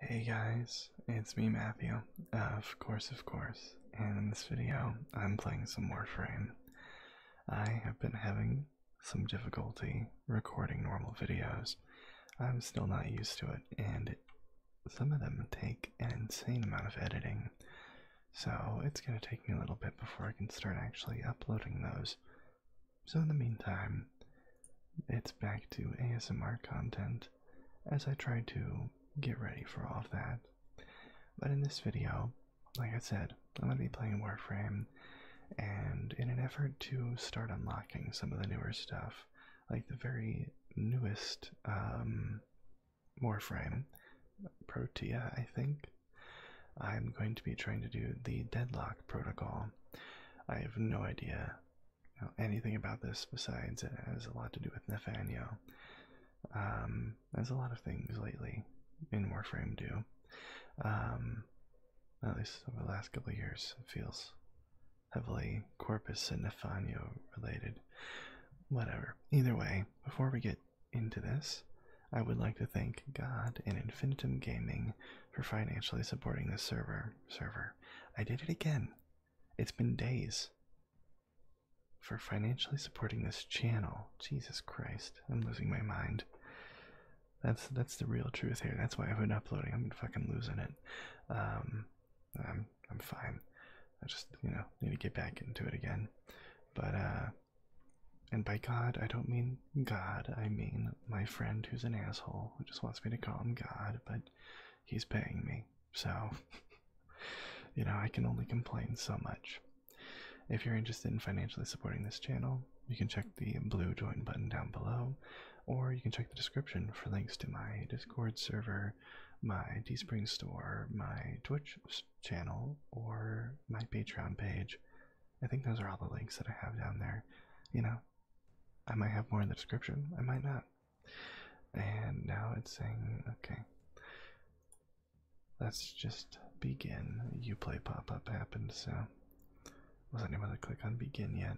Hey guys, it's me Matthew, of course, of course, and in this video I'm playing some Warframe. I have been having some difficulty recording normal videos. I'm still not used to it, and some of them take an insane amount of editing, so it's going to take me a little bit before I can start actually uploading those. So, in the meantime, it's back to ASMR content as I try to get ready for all of that. But in this video, like I said, I'm going to be playing Warframe, and in an effort to start unlocking some of the newer stuff, like the very newest um, Warframe, Protea, I think, I'm going to be trying to do the Deadlock Protocol. I have no idea anything about this besides it has a lot to do with Nathaniel. Um, there's a lot of things lately in Warframe do. Um, at least over the last couple years, it feels heavily Corpus and Nathaniel related. Whatever. Either way, before we get into this, I would like to thank God and Infinitum Gaming for financially supporting this server. Server. I did it again. It's been days. For financially supporting this channel. Jesus Christ, I'm losing my mind. That's that's the real truth here. That's why I've been uploading. i am fucking losing it. Um I'm I'm fine. I just, you know, need to get back into it again. But uh, and by God, I don't mean God, I mean my friend who's an asshole who just wants me to call him God, but he's paying me. So, you know, I can only complain so much. If you're interested in financially supporting this channel, you can check the blue join button down below, or you can check the description for links to my Discord server, my Teespring store, my Twitch channel, or my Patreon page. I think those are all the links that I have down there. You know, I might have more in the description. I might not. And now it's saying, okay, let's just begin. Uplay pop up happened, so wasn't able to click on begin yet.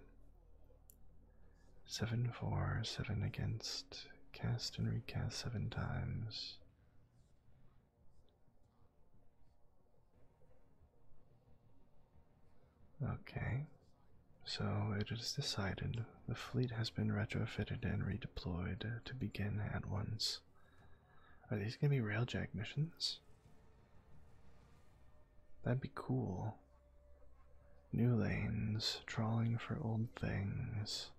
Seven four seven against, cast and recast 7 times. Okay, so it is decided. The fleet has been retrofitted and redeployed to begin at once. Are these going to be railjack missions? That'd be cool. New lanes, trawling for old things.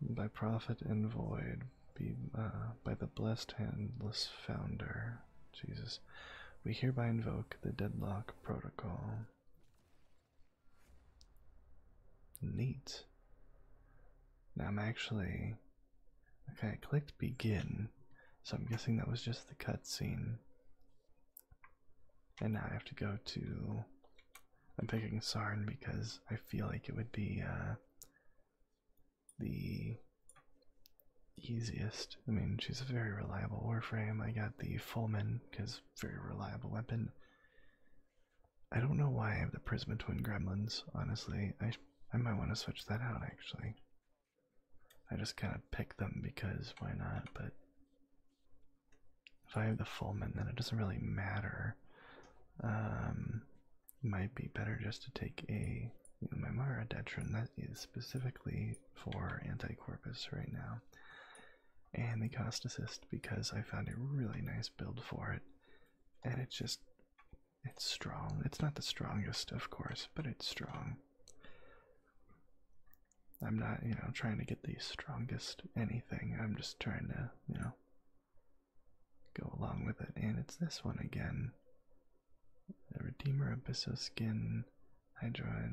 By profit and void, be uh, by the blessed handless founder. Jesus. We hereby invoke the deadlock protocol. Neat. Now I'm actually. Okay, I clicked begin, so I'm guessing that was just the cutscene. And now I have to go to. I'm picking Sarn because I feel like it would be uh, the easiest. I mean, she's a very reliable warframe. I got the Fullman because very reliable weapon. I don't know why I have the Prism Twin Gremlins. Honestly, I I might want to switch that out. Actually, I just kind of picked them because why not? But if I have the Fullman, then it doesn't really matter. Um, it might be better just to take a Mimara Detron that is specifically for anti corpus right now. And the cost assist because I found a really nice build for it. And it's just it's strong. It's not the strongest, of course, but it's strong. I'm not, you know, trying to get the strongest anything. I'm just trying to, you know, go along with it. And it's this one again the Redeemer Abysso Skin Hydra.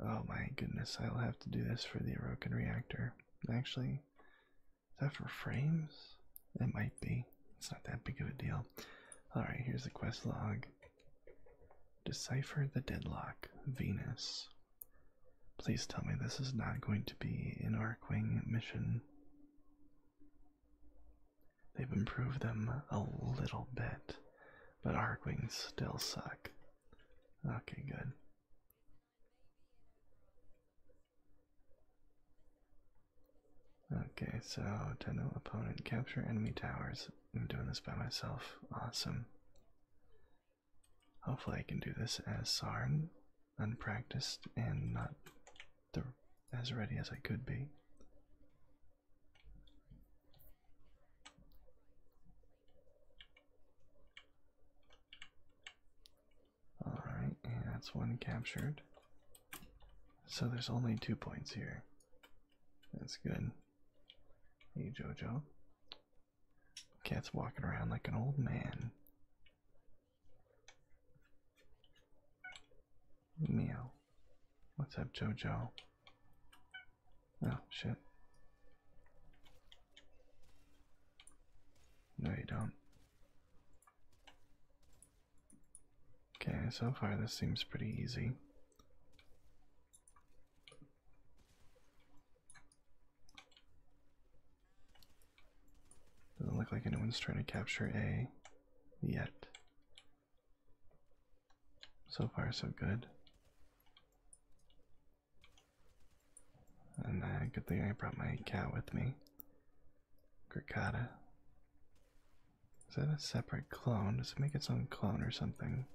oh my goodness, I'll have to do this for the Orokin Reactor. Actually, is that for frames? It might be. It's not that big of a deal. Alright, here's the quest log. Decipher the deadlock, Venus. Please tell me this is not going to be an Arkwing mission. They've improved them a little bit, but hard wings still suck. Okay, good. Okay, so Tenno opponent capture enemy towers. I'm doing this by myself. Awesome. Hopefully I can do this as Sarn, unpracticed and not the, as ready as I could be. Alright, that's one captured. So there's only two points here. That's good. Hey, Jojo. Cat's walking around like an old man. Meow. What's up, Jojo? Oh, shit. No, you don't. Okay, so far this seems pretty easy. Doesn't look like anyone's trying to capture A yet. So far, so good. And uh, good thing I brought my cat with me. Gricata. Is that a separate clone? Does it make its own clone or something?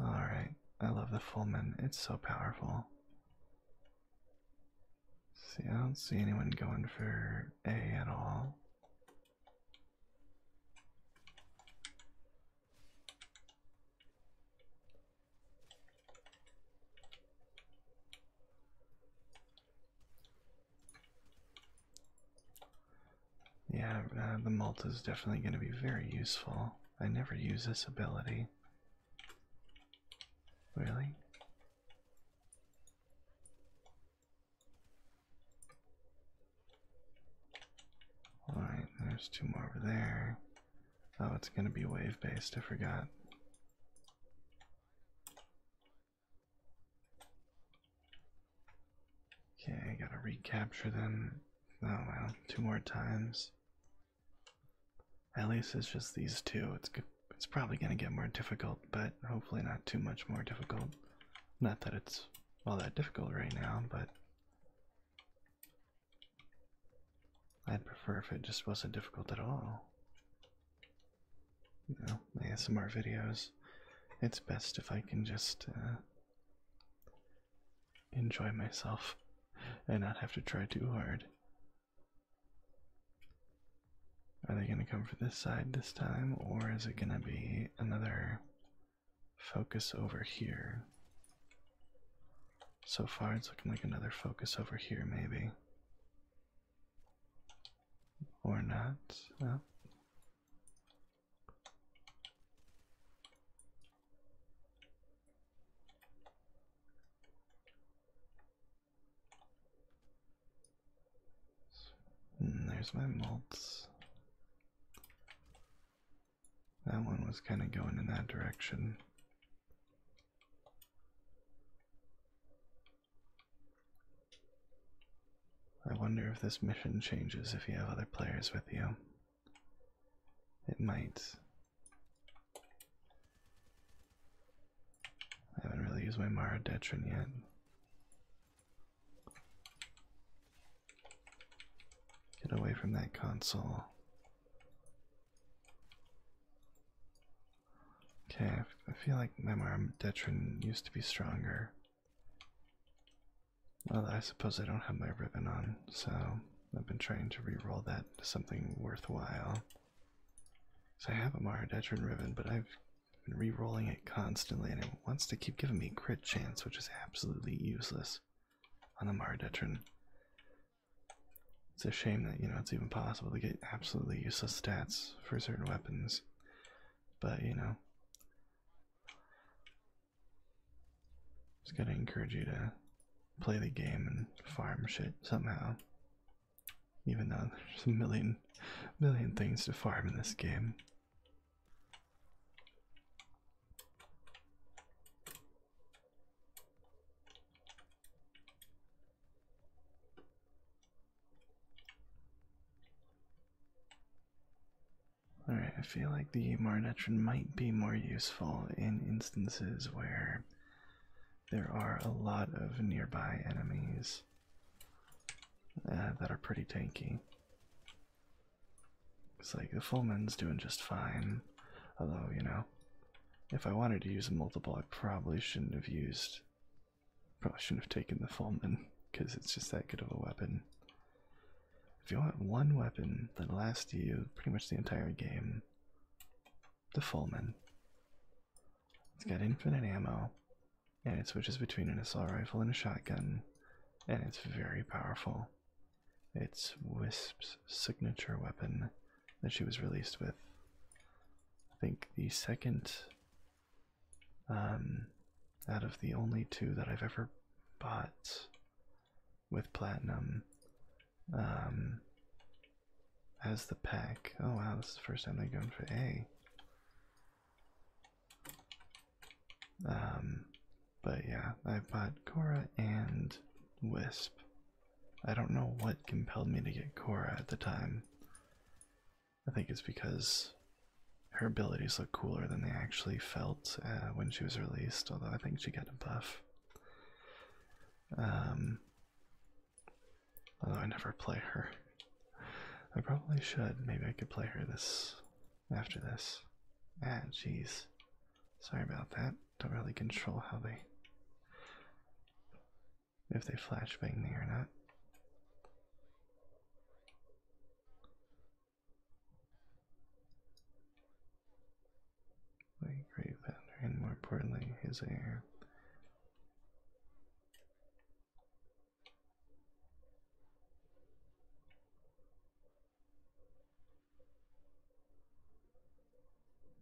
Alright, I love the Fullman. It's so powerful. See, I don't see anyone going for A at all. Yeah, uh, the Malta is definitely going to be very useful. I never use this ability. Really? Alright, there's two more over there. Oh, it's going to be wave based, I forgot. Okay, I gotta recapture them. Oh well, two more times. At least it's just these two. It's good. It's probably gonna get more difficult, but hopefully not too much more difficult. Not that it's all that difficult right now, but I'd prefer if it just wasn't difficult at all you know, ASMR videos, it's best if I can just uh, enjoy myself and not have to try too hard. Are they going to come for this side this time, or is it going to be another focus over here? So far, it's looking like another focus over here, maybe. Or not. Oh, Hmm, there's my molts. That one was kind of going in that direction. I wonder if this mission changes if you have other players with you. It might. I haven't really used my Mara Detron yet. Get away from that console. Okay, I feel like my Mara Detron used to be stronger. Well, I suppose I don't have my ribbon on, so I've been trying to re-roll that to something worthwhile. So I have a Maradetron ribbon, but I've been re-rolling it constantly, and it wants to keep giving me crit chance, which is absolutely useless on the Maradetron. It's a shame that you know it's even possible to get absolutely useless stats for certain weapons but you know, just gotta encourage you to play the game and farm shit somehow. Even though there's a million, million things to farm in this game. Alright, I feel like the Marnetron might be more useful in instances where there are a lot of nearby enemies uh, that are pretty tanky. It's like the Fullman's doing just fine, although, you know, if I wanted to use a multiple, I probably shouldn't have used Probably shouldn't have taken the Fallman, because it's just that good of a weapon. If you want one weapon that last you pretty much the entire game, the Fallman. It's got infinite ammo, and it switches between an assault rifle and a shotgun, and it's very powerful. It's Wisp's signature weapon that she was released with. I think the second um, out of the only two that I've ever bought with platinum um, as the pack. Oh wow, this is the first time they're going for A. Um, but yeah, I bought Cora and Wisp. I don't know what compelled me to get Cora at the time. I think it's because her abilities look cooler than they actually felt uh, when she was released, although I think she got a buff. Um, although I never play her. I probably should. Maybe I could play her this after this. Ah, jeez. Sorry about that. Don't really control how they. if they flashbang me or not. My grave and more importantly, his air.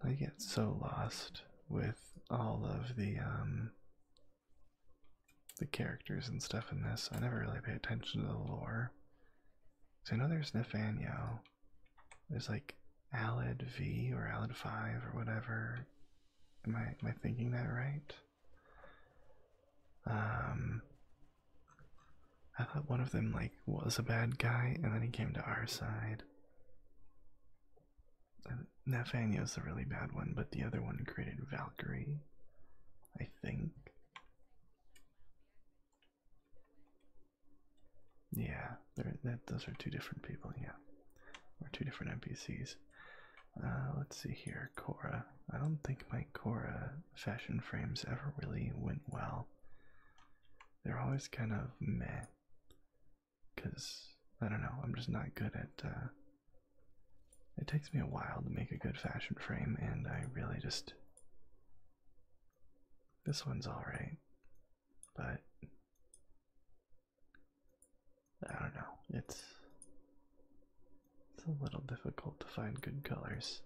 I get so lost with all of the um the characters and stuff in this. I never really pay attention to the lore. So I know there's Nathaniel. There's like Alad V or Alad 5 or whatever. Am I am I thinking that right? Um I thought one of them like was a bad guy and then he came to our side. Nathaniel's a really bad one, but the other one created Valkyrie, I think. Yeah, that, those are two different people, yeah. Or two different NPCs. Uh, let's see here, Cora. I don't think my Cora fashion frames ever really went well. They're always kind of meh. Because, I don't know, I'm just not good at uh, it takes me a while to make a good fashion frame, and I really just. This one's alright, but. I don't know. It's. It's a little difficult to find good colors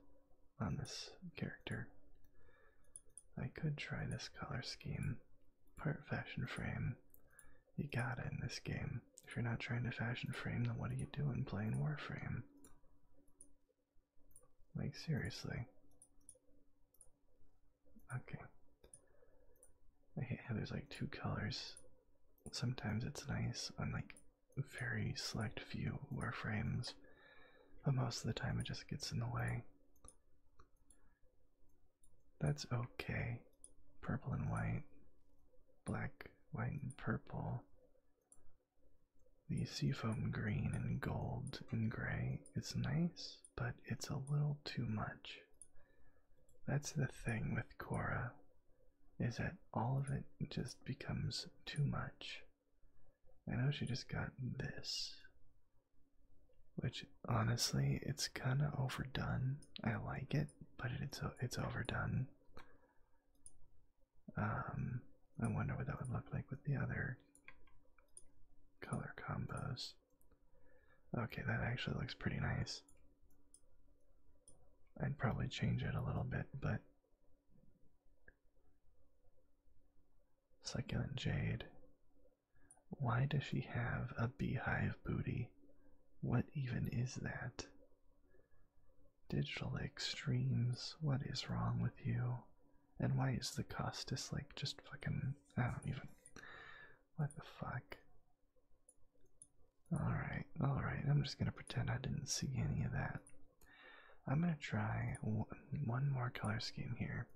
on this character. I could try this color scheme. Part fashion frame, you got to in this game. If you're not trying to fashion frame, then what are you doing playing Warframe? Like, seriously. Okay. I hate how there's like two colors. Sometimes it's nice on like very select few Warframes, but most of the time it just gets in the way. That's okay. Purple and white, black, white, and purple. The seafoam green and gold and gray is nice, but it's a little too much. That's the thing with Cora, is that all of it just becomes too much. I know she just got this, which honestly, it's kind of overdone. I like it but it's it's overdone. Um, I wonder what that would look like with the other color combos. Okay, that actually looks pretty nice. I'd probably change it a little bit, but Succulent Jade. Why does she have a beehive booty? What even is that? Digital extremes, what is wrong with you? And why is the Costas like just fucking. I don't even. What the fuck? Alright, alright, I'm just gonna pretend I didn't see any of that. I'm gonna try one more color scheme here.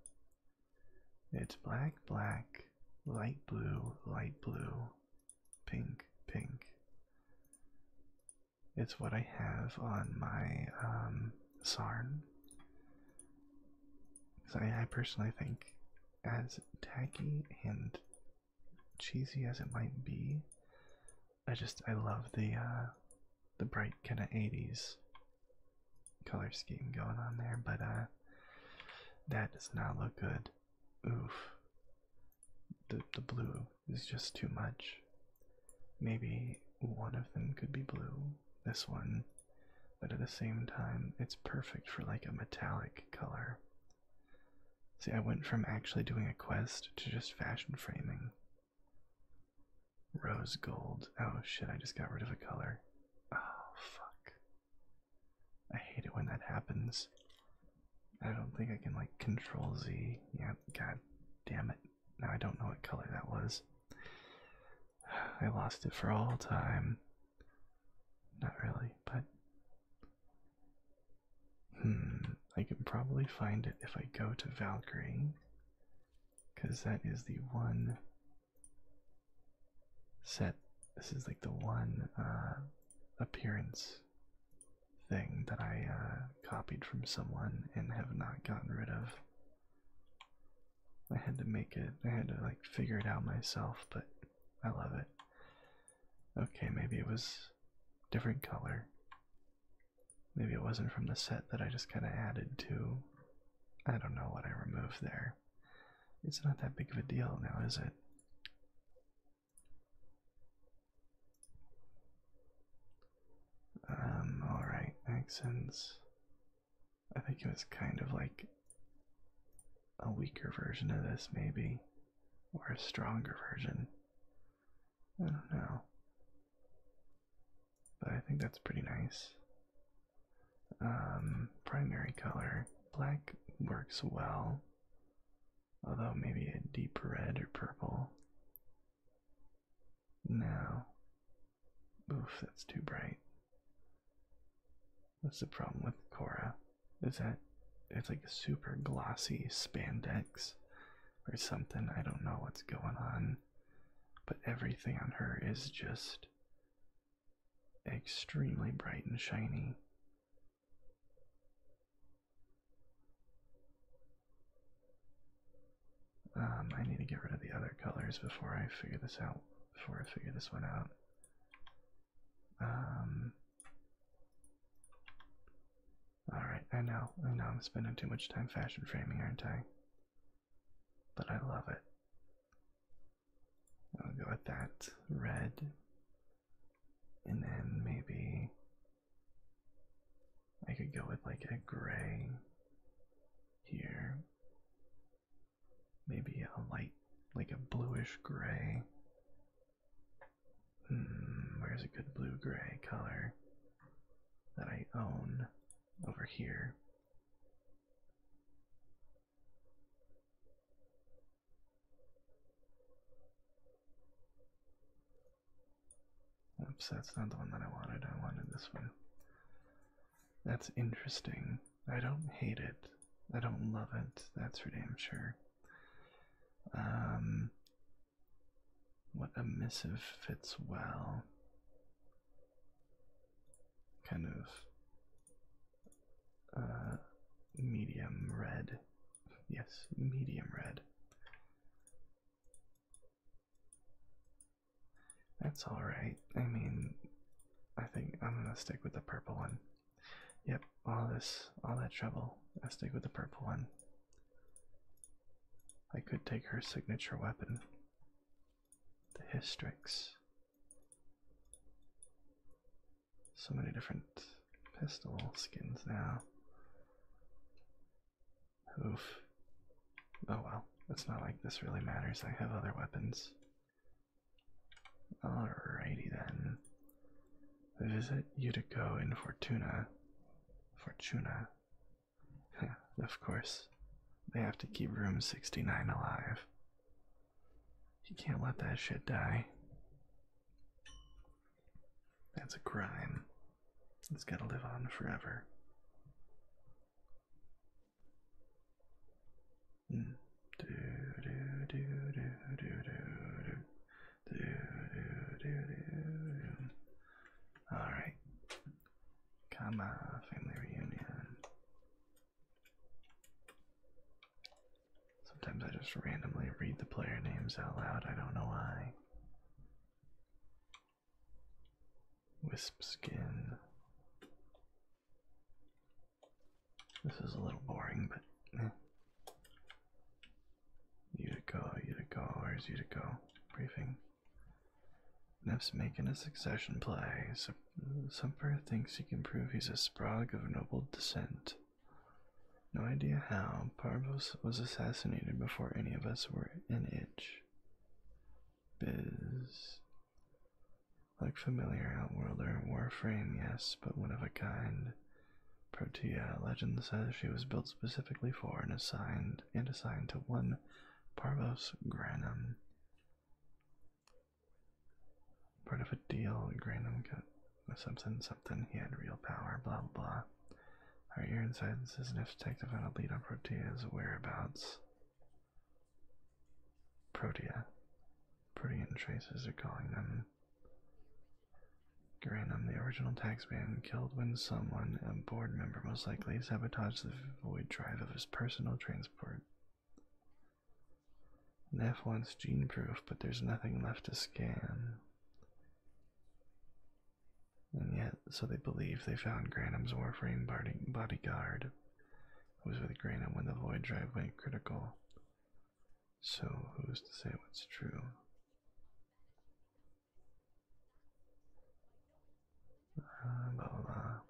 It's black, black, light blue, light blue, pink, pink. It's what I have on my um, Sarn. So I, I personally think, as tacky and cheesy as it might be, I just I love the uh, the bright kind of '80s color scheme going on there. But uh, that does not look good Oof. The the blue is just too much. Maybe one of them could be blue, this one, but at the same time, it's perfect for like a metallic color. See, I went from actually doing a quest to just fashion framing. Rose gold. Oh shit, I just got rid of a color. Oh fuck. I hate it when that happens. I don't think I can like control Z. Yeah, god damn it. Now I don't know what color that was. I lost it for all time. Not really, but. Hmm, I can probably find it if I go to Valkyrie. Because that is the one set. This is like the one uh, appearance thing that I uh, copied from someone and have not gotten rid of. I had to make it, I had to like figure it out myself, but I love it. Okay, maybe it was different color. Maybe it wasn't from the set that I just kind of added to. I don't know what I removed there. It's not that big of a deal now, is it? Um, alright, makes sense. I think it was kind of like a weaker version of this, maybe, or a stronger version. I don't know. But I think that's pretty nice. Um, primary color. Black works well although maybe a deep red or purple. No. Oof, that's too bright. What's the problem with Cora, is that it's like a super glossy spandex or something. I don't know what's going on, but everything on her is just extremely bright and shiny. Um, I need to get rid of the other colors before I figure this out. Before I figure this one out. Um. All right, I know, I know, I'm spending too much time fashion framing, aren't I? But I love it. I'll go with that red. And then maybe I could go with like a gray here. Maybe a light, like a bluish gray. Hmm, where's a good blue gray color that I own over here? Oops, that's not the one that I wanted. I wanted this one. That's interesting. I don't hate it. I don't love it. That's for damn sure. Um, what a missive fits well. Kind of uh, medium red. Yes, medium red. That's alright. I mean, I think I'm gonna stick with the purple one. Yep, all this, all that trouble. I stick with the purple one. I could take her signature weapon, the Hystrix. So many different pistol skins now. Oof. Oh well, it's not like this really matters. I have other weapons. Alrighty then. Visit Utico in Fortuna. Fortuna. of course, they have to keep room 69 alive. You can't let that shit die. That's a crime. It's gotta live on forever. Mm. Do, do, do, do, do, do, do, do, do, do. All right, come on, family reunion. Sometimes I just randomly read the player names out loud, I don't know why. Wisp skin. This is a little boring, but eh. Utico, Utico, where's Utico? Briefing. Neff's making a succession play, Sumper thinks he can prove he's a Sprague of noble descent. No idea how. Parvos was assassinated before any of us were an itch. Biz. Like familiar outworlder, Warframe, yes, but one of a kind. Protea, legend says she was built specifically for and assigned and assigned to one Parvos Granum. Part of a deal, Granum got something, something. He had real power, blah, blah, blah. Our ear insides is enough detective on a lead on Protea's whereabouts. Protea. Protean traces are calling them. Granum, the original taxman, killed when someone, a board member most likely, sabotaged the void drive of his personal transport and wants gene proof, but there's nothing left to scan. And yet, so they believe they found Granum's Warframe bodyguard, who was with Granum when the void drive went critical. So, who's to say what's true? Uh, blah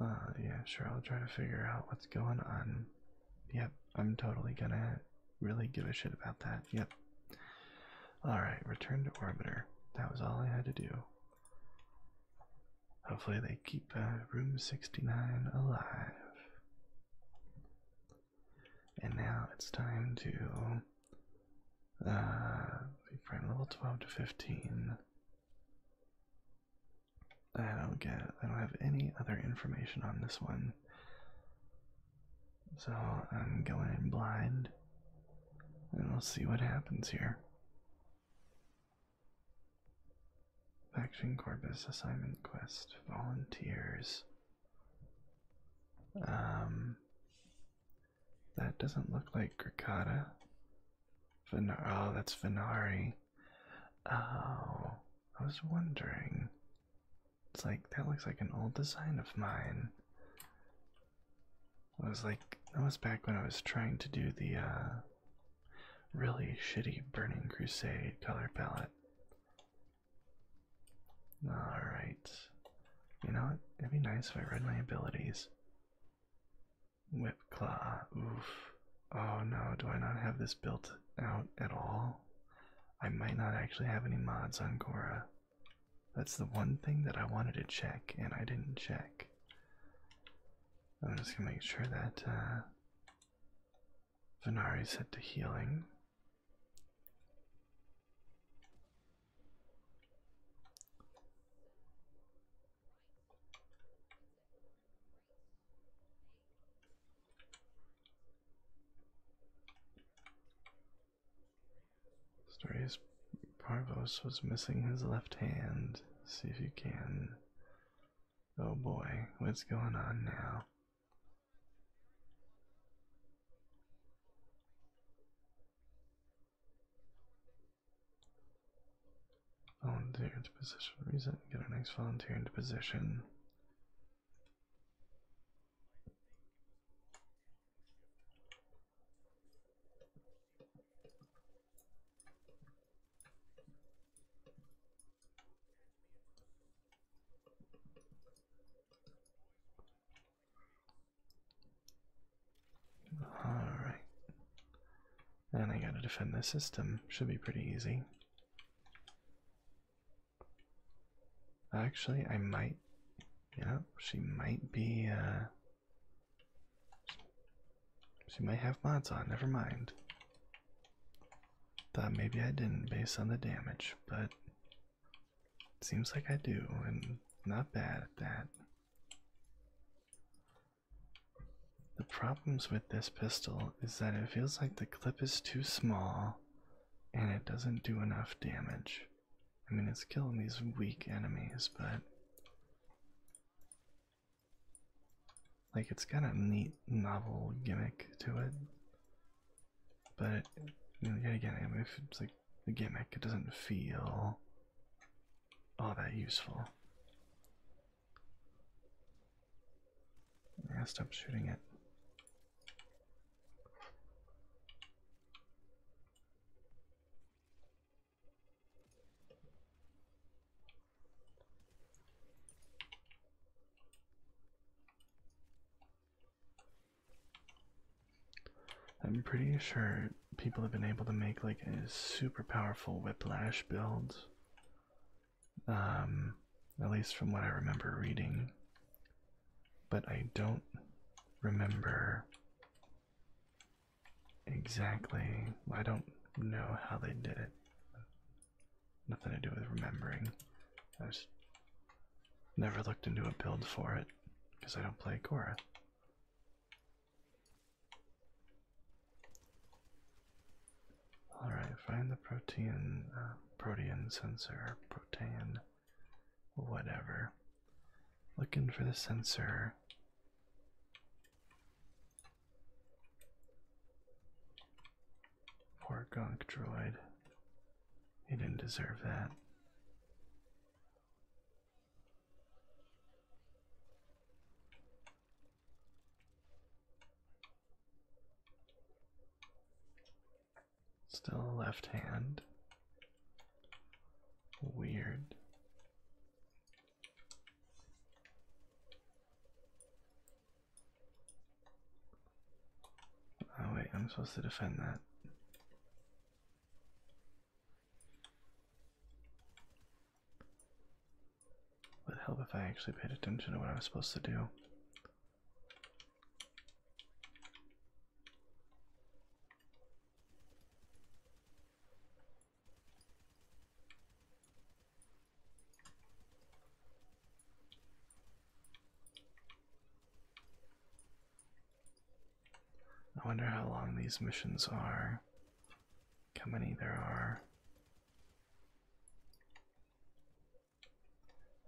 uh, yeah, sure, I'll try to figure out what's going on. Yep, I'm totally gonna really give a shit about that. Yep. Alright, return to orbiter. That was all I had to do. Hopefully, they keep uh, room 69 alive. And now it's time to uh, prime level 12 to 15. I don't get, I don't have any other information on this one. So I'm going blind and we'll see what happens here. Faction Corpus Assignment Quest Volunteers. Um, that doesn't look like Grakata. Ven oh, that's Venari. Oh, I was wondering. It's like, that looks like an old design of mine. It was like, that was back when I was trying to do the, uh, really shitty Burning Crusade color palette. Alright. You know what? It'd be nice if I read my abilities. Whip claw. Oof. Oh no, do I not have this built out at all? I might not actually have any mods on Gora. That's the one thing that I wanted to check and I didn't check. I'm just gonna make sure that uh, Venari set to healing. Story Parvos was missing his left hand. See if you can Oh boy, what's going on now? Volunteer oh, into position reason. Get our next volunteer into position. Alright. And I gotta defend this system. Should be pretty easy. Actually, I might. Yeah, she might be. Uh, she might have mods on. Never mind. Thought maybe I didn't based on the damage, but seems like I do, and not bad at that. The problems with this pistol is that it feels like the clip is too small and it doesn't do enough damage. I mean, it's killing these weak enemies, but like it's got a neat novel gimmick to it, but you again, if it's like a gimmick, it doesn't feel all that useful. I stop shooting it. I'm pretty sure people have been able to make like a super powerful whiplash build. Um, at least from what I remember reading. But I don't remember exactly. I don't know how they did it. Nothing to do with remembering. I have never looked into a build for it because I don't play Korra. Alright, find the protein, uh, protein sensor, protein, whatever. Looking for the sensor Poor gunk Droid. He didn't deserve that. Still left hand. Weird. Oh wait, I'm supposed to defend that. Would help if I actually paid attention to what I was supposed to do. I wonder how long these missions are, how many there are.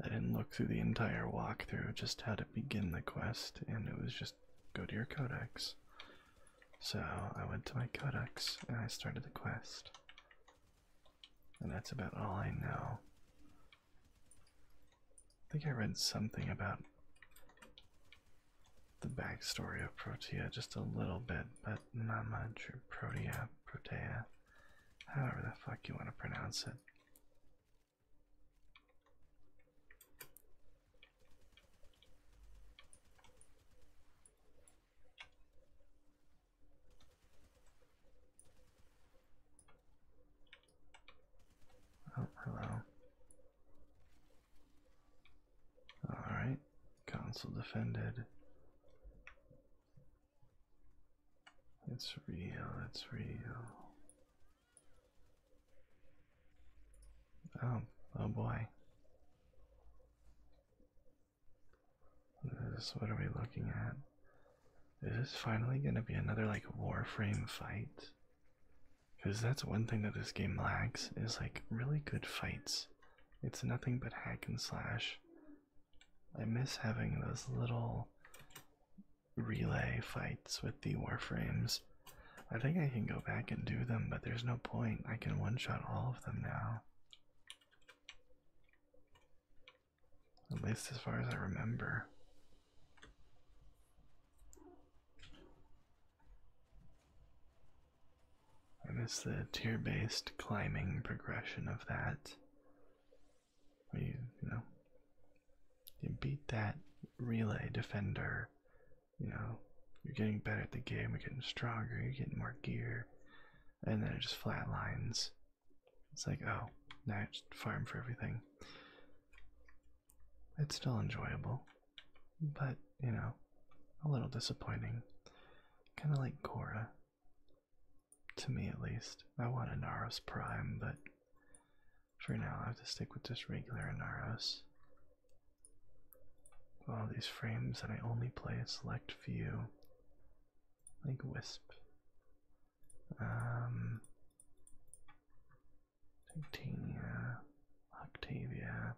I didn't look through the entire walkthrough, just how to begin the quest, and it was just go to your codex. So I went to my codex and I started the quest. And that's about all I know. I think I read something about the backstory of Protea just a little bit, but not much. Or Protea, Protea, however the fuck you want to pronounce it. Oh, hello. Alright, council defended. It's real, it's real. Oh, oh boy. This, what are we looking at? Is this finally going to be another like Warframe fight? Because that's one thing that this game lacks is like really good fights. It's nothing but hack and slash. I miss having those little relay fights with the Warframes. I think I can go back and do them, but there's no point. I can one shot all of them now. At least as far as I remember. I miss the tier based climbing progression of that. you know, you beat that relay defender, you know, you're getting better at the game, you're getting stronger, you're getting more gear, and then it just flatlines. It's like, oh, now I farm for everything. It's still enjoyable, but you know, a little disappointing. Kind of like Gora. to me at least. I want a Naros Prime, but for now I'll have to stick with just regular Naros. All these frames that I only play a select few like Wisp. Um, Titania, Octavia.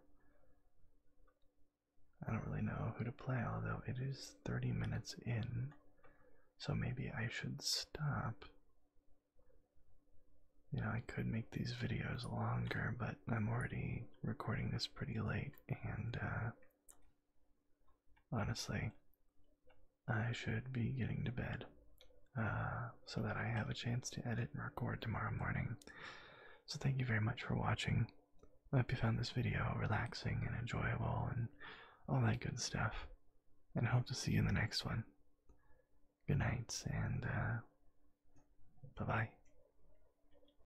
I don't really know who to play, although it is 30 minutes in, so maybe I should stop. You know, I could make these videos longer, but I'm already recording this pretty late, and uh, Honestly, I should be getting to bed uh, so that I have a chance to edit and record tomorrow morning. So, thank you very much for watching. I hope you found this video relaxing and enjoyable and all that good stuff. And I hope to see you in the next one. Good night and uh, bye bye.